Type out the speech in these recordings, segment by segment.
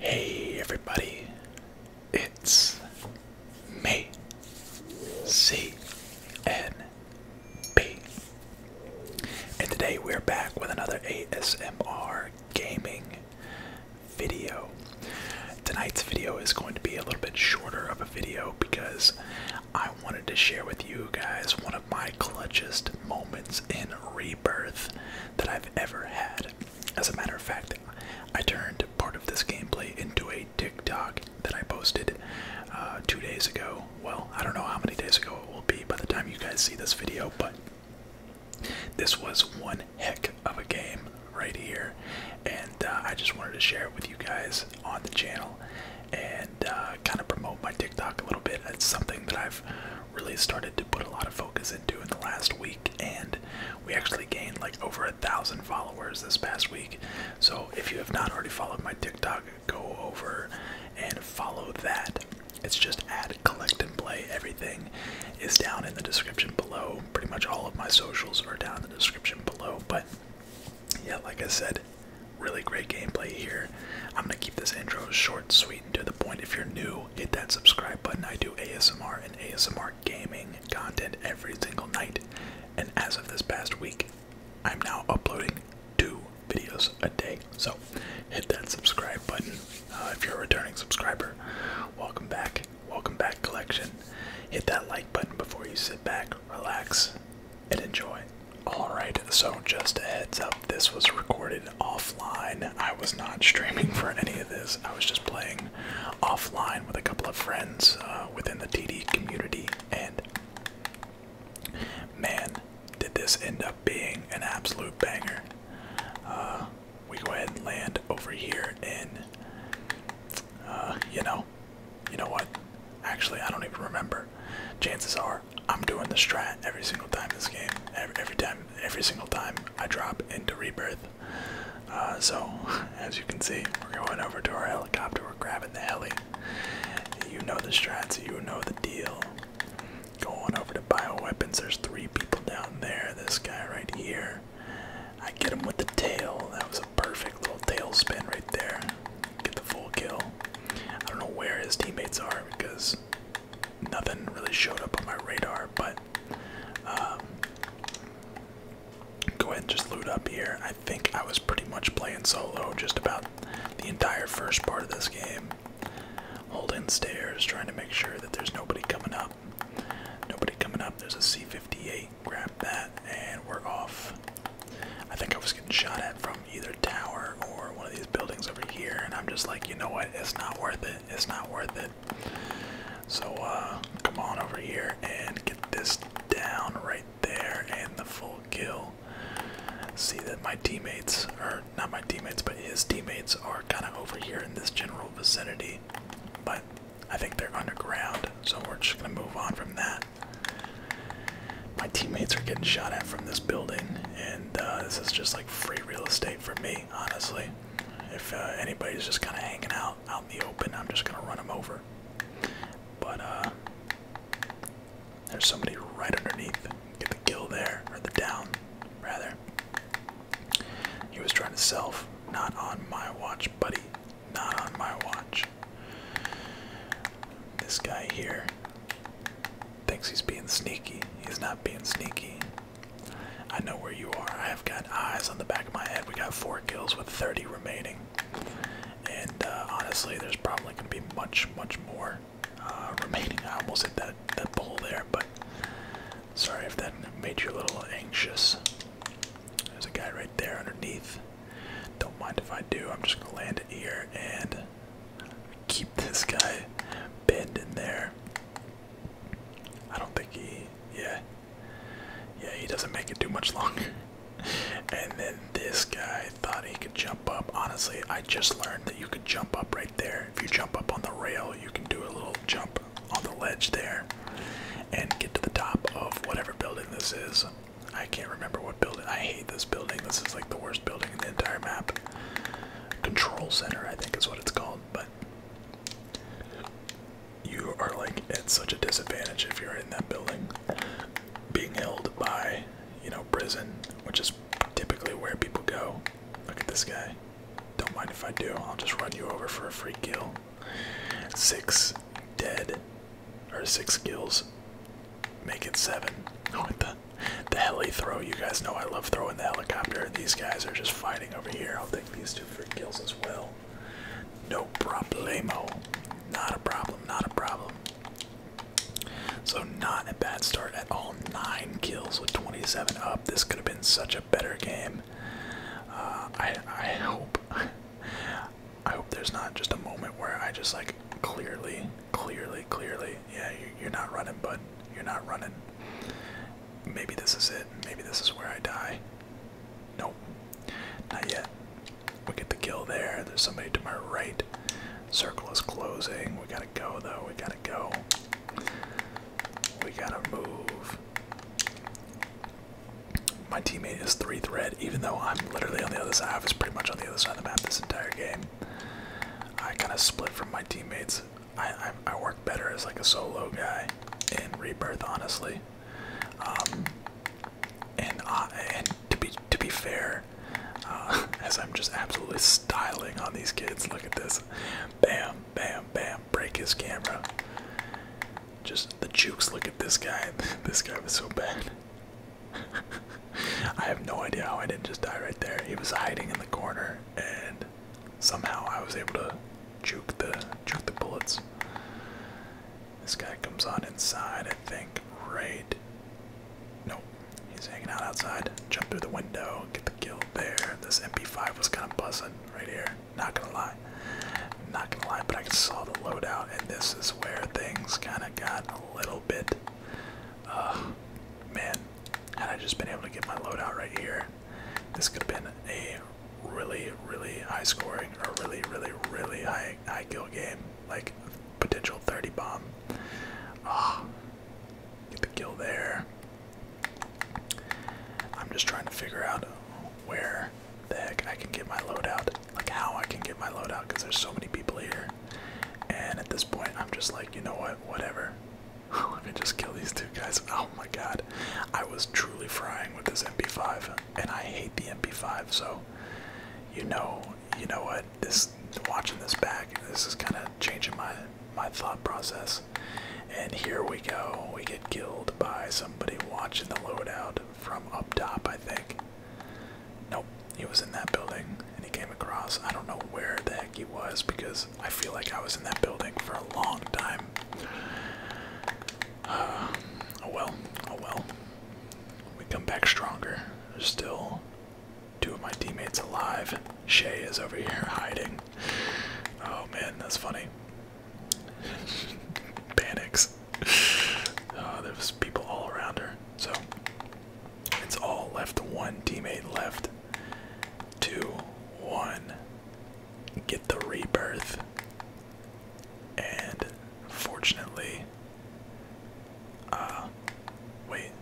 Hey everybody, it's me, C N B, and today we're back with another ASMR gaming video. Tonight's video is going to be a little bit shorter of a video because I wanted to share with you guys one of my clutchest moments in rebirth that I've ever had. As a matter of fact, I turned part of this gameplay into a TikTok that I posted uh, two days ago. Well, I don't know how many days ago it will be by the time you guys see this video, but this was one heck of a game right here and uh, I just wanted to share it with you guys on the channel and uh, kind of promote my TikTok a little bit. It's something that I've really started to put a lot of focus into in the last week, and we actually gained like over a thousand followers this past week. So if you have not already followed my TikTok, go over and follow that. It's just add, collect, and play. Everything is down in the description below. Pretty much all of my socials are down in the description below. But yeah, like I said, really great gameplay here. I'm gonna keep this intro short, sweet, and to the point. If you're new, hit that subscribe button. I do ASMR and ASMR gaming content every single night. And as of this past week, I'm now uploading two videos a day. So hit that subscribe button. Uh, if you're a returning subscriber, welcome back. Welcome back, collection. Hit that like button before you sit back, relax, and enjoy. Alright, so just a heads up, this was recorded offline. I was not streaming for any of this, I was just playing offline with a couple of friends uh, within the TD community, and man, did this end up being an absolute banger. Uh, we go ahead and land over here in, uh, you know, you know what? Actually, I don't even remember. Chances are I'm doing the strat every single time this game. Every, time, every single time I drop into rebirth. Uh, so, as you can see, we're going over to our helicopter. We're grabbing the heli. You know the strat, You know the deal. Going over to bioweapons. There's three people down there. This guy right here. I get him with the tail. That was a perfect little tail spin right there get the full kill. I don't know where his teammates are because nothing really showed up on my radar, but um, go ahead and just loot up here. I think I was pretty much playing solo just about the entire first part of this game. Holding stairs, trying to make sure that there's nobody coming up. Nobody coming up. There's a C58 grab that, and we're off. I think I was getting shot at from either tower or one of these buildings over here, and I'm just like, you know what? It's not worth it. It's not worth it. So, uh, come on over here and get this down right there, and the full kill. See that my teammates, or not my teammates, but his teammates are kind of over here in this general vicinity, but I think they're underground so we're just gonna move on from that. My teammates are getting shot at from this building, and uh, this is just like free real estate for me, honestly. If uh, anybody's just kind of hanging out out in the open, I'm just gonna run them over. But uh, there's somebody right underneath. Get the kill there, or the down, rather. He was trying to self, not on my watch, buddy. Not on my watch. This guy here thinks he's being sneaky. He's not being sneaky. I know where you are. I have got eyes on the back of my head. We got four kills with 30 remaining. And uh, honestly, there's probably going to be much, much more uh, remaining. I almost hit that, that bowl there, but sorry if that made you a little anxious. There's a guy right there underneath. Don't mind if I do. I'm just gonna land it here and keep this guy bent in there. I don't think he. Yeah. Yeah, he doesn't make it too much longer. and then this guy thought he could jump up. Honestly, I just learned that you could jump up right there. If you jump up on the rail, you can do a little jump on the ledge there and get to the top of whatever building this is. I can't remember what building. I hate this building. This is like the worst building in the entire map. Control center, I think, is what it's called. But you are like at such a disadvantage if you're in that building, being held by, you know, prison, which is typically where people go. Look at this guy. Don't mind if I do. I'll just run you over for a free kill. Six dead or six kills, Make it seven. What the the heli throw? You guys know I love throwing the helicopter. These guys are just fighting over here. I'll take these two for kills as well. No problemo. Not a problem. Not a problem. So not a bad start at all. Nine kills with 27 up. This could have been such a better game. Uh, I I hope. I hope there's not just a moment where I just like clearly, clearly, clearly, yeah, you're not running, bud. You're not running. Maybe this is it. Maybe this is where I die. Nope, not yet. We get the kill there. There's somebody to my right. Circle is closing. We gotta go though. We gotta go. We gotta move. My teammate is three thread, even though I'm literally on the other side. I was pretty much on the other side of the map this entire game. I kind of split from my teammates. I, I, work better as like a solo guy in Rebirth, honestly. Um, and uh, and to be to be fair, uh, as I'm just absolutely styling on these kids. Look at this, bam, bam, bam. Break his camera. Just the jukes. Look at this guy. this guy was so bad. I have no idea how I didn't just die right there. He was hiding in the corner, and somehow I was able to juke the juke the bullets. This guy comes on inside, I think. Right. Nope. He's hanging out outside. Jump through the window, get the kill there. This MP5 was kind of buzzing right here. Not gonna lie. I'm not gonna lie, but I saw the loadout, and this is where things kind of got a little bit. Uh, man, had I just been able to get my loadout right here, this could have been a really, really high scoring a really, really, really high, high kill game. Like potential 30 bomb. Ah, get the kill there. I'm just trying to figure out where the heck I can get my loadout, like how I can get my loadout, because there's so many people here. And at this point, I'm just like, you know what, whatever. Let me just kill these two guys. Oh my god. I was truly frying with this MP5, and I hate the MP5, so you know, you know what, this watching this back, this is kind of changing my my thought process. And here we go. We get killed by somebody watching the loadout from up top, I think. Nope, he was in that building and he came across. I don't know where the heck he was because I feel like I was in that building for a long time. oh well, oh well. We come back stronger. There's still two of my teammates alive. Shay is over here hiding. Oh man, that's funny. Panics uh, oh, there was people all around her. So it's all left. One teammate left. Two, one. Get the rebirth. And fortunately, uh, wait.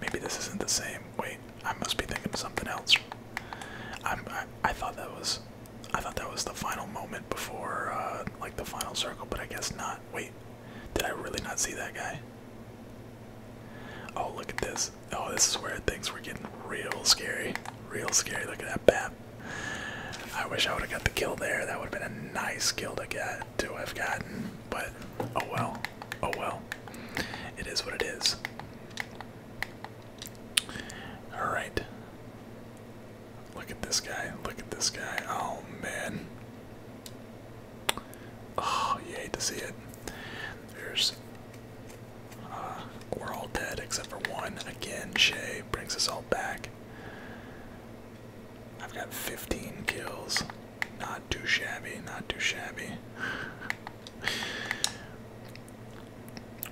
Maybe this isn't the same. Wait, I must be thinking of something else. I'm, I, I thought that was I thought that was the final moment before, uh, like the final circle, but I guess not. Wait, did I really not see that guy? Oh, look at this. Oh, this is where things were getting real scary. Real scary. Look at that bat. I wish I would have got the kill there. That would have been a nice kill to get, to have gotten. But, oh well. Oh well. It is what it is. Alright. Look at this guy. Look at this guy. Oh, man. Oh, you hate to see it. There's. Uh, we're all dead except for one. Again, Shay brings us all back. I've got 15 kills. Not too shabby, not too shabby.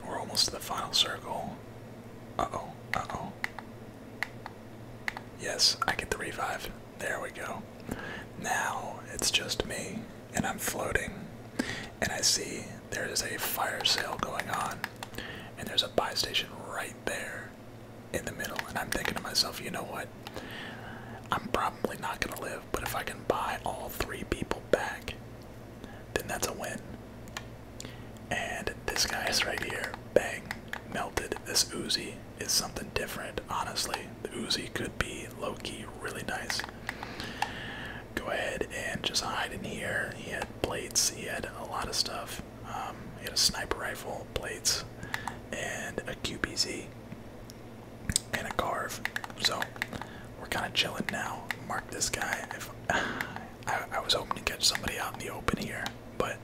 We're almost to the final circle. Uh oh, uh oh. Yes, I get the revive. There we go. Now it's just me, and I'm floating, and I see there is a fire sale going on, and there's a buy station right there in the middle. And I'm thinking to myself, you know what? I'm probably not going to live, but if I can buy all three people back, then that's a win. And this guy's right here, bang, melted. This Uzi is something different, honestly. The Uzi could be low-key really nice. Go ahead and just hide in here. He had blades. he had a lot of stuff. Um, he had a sniper rifle, blades, and a QPZ and a carve. So we're kind of chilling now. Mark this guy. If I was hoping to catch somebody out in the open here, but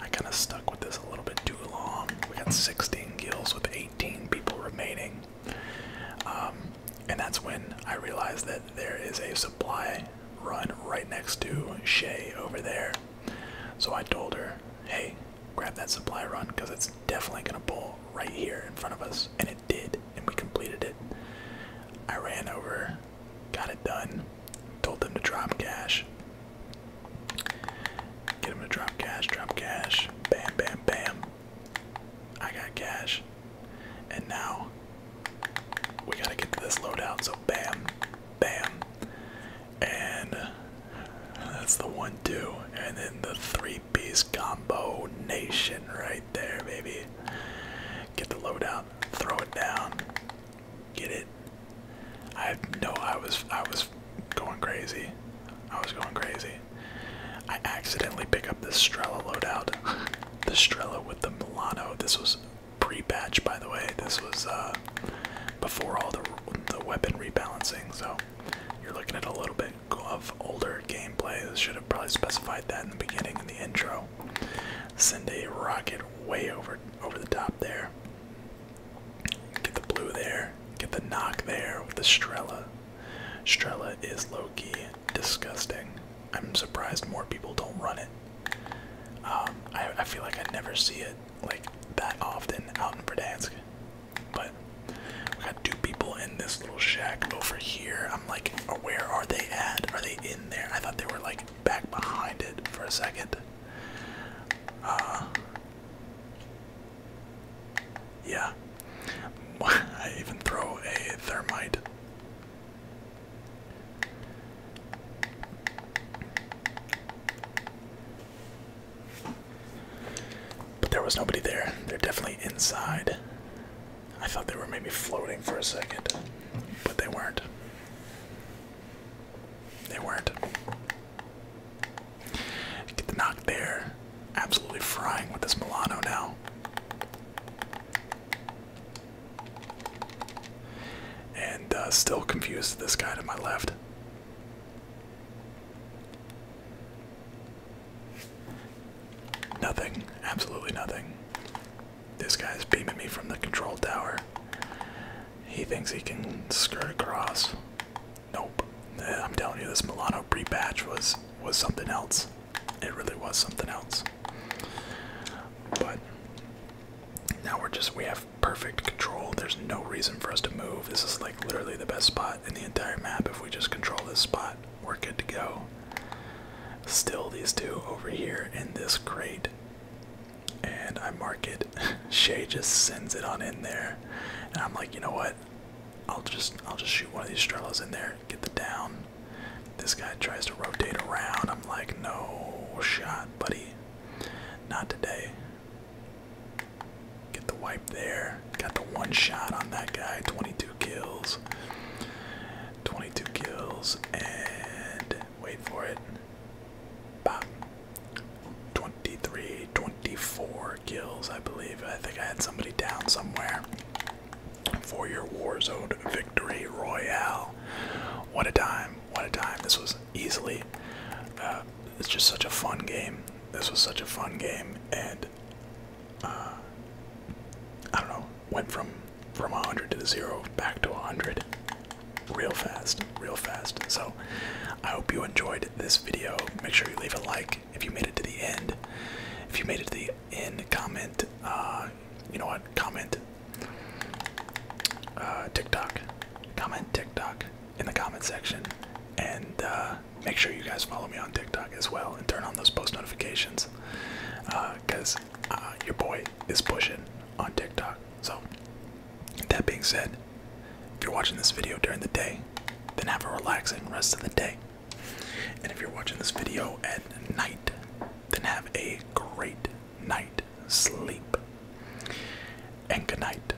I kind of stuck with this a little bit too long. We got 16 gills with 18 people remaining. Um, and that's when I realized that there is a supply run right next to Shay over there. So I told her, hey, grab that supply run because it's definitely going to pull right here in front of us. And it did, and we completed it. I ran over Got it done. Told them to drop cash. Get them to drop cash, drop cash. Bam, bam, bam. I got cash. And now we gotta get to this loadout. So bam, bam. And that's the one, two. And then the three piece combo nation right there, baby. Get the loadout, throw it down. Get it? I know I was I was going crazy. I was going crazy. I accidentally pick up the Strela loadout. the Strela with the Milano. This was pre batch by the way. This was uh, before all the the weapon rebalancing. So you're looking at a little bit of older gameplay. I should have probably specified that in the beginning in the intro. Send a rocket way over over the top there. Get the blue there. Get the knock there with the Strella. Strella is low-key disgusting. I'm surprised more people don't run it. Um, I, feel like I never see it like that often out in Verdansk. But we got two people in this little shack over here. I'm like, oh, where are they at? Are they in there? I thought they were like back behind it for a second. Uh, yeah. I even throw a thermite. But there was nobody there. They're definitely inside. I thought they were maybe floating for a second, but they weren't. They weren't. Get the knock there. Absolutely frying with this Milano now. And uh, still confused this guy to my left. Nothing. Absolutely nothing. This guy's beaming me from the control tower. He thinks he can skirt across. Nope. I'm telling you, this Milano pre-batch was was something else. It really was something else. But now we're just we have perfect control. There's no reason for us to move. This is like literally the best spot in the entire map. If we just control this spot, we're good to go. Still, these two over here in this crate and I mark it. Shay just sends it on in there, and I'm like, you know what? I'll just I'll just shoot one of these Strelos in there, get the down. This guy tries to rotate around. I'm like, no shot, buddy. Not today. Get the wipe there. Got the one shot on that guy. 22 kills. 22 kills. And wait for it. Bop. 23, 24 kills, I believe. I think I had somebody down somewhere. For your Warzone victory royale. What a time. What a time. This was easily. Uh, it's just such a fun game. This was such a fun game. And. Uh, I don't know. Went from from 100 to the zero back to 100 real fast real fast so i hope you enjoyed this video make sure you leave a like if you made it to the end if you made it to the end comment uh, you know what comment uh, tiktok comment tiktok in the comment section and uh, make sure you guys follow me on tiktok as well and turn on those post notifications because your boy is pushing on tiktok so, that being said, if you're watching this video during the day, then have a relaxing rest of the day. And if you're watching this video at night, then have a great night sleep. And good night.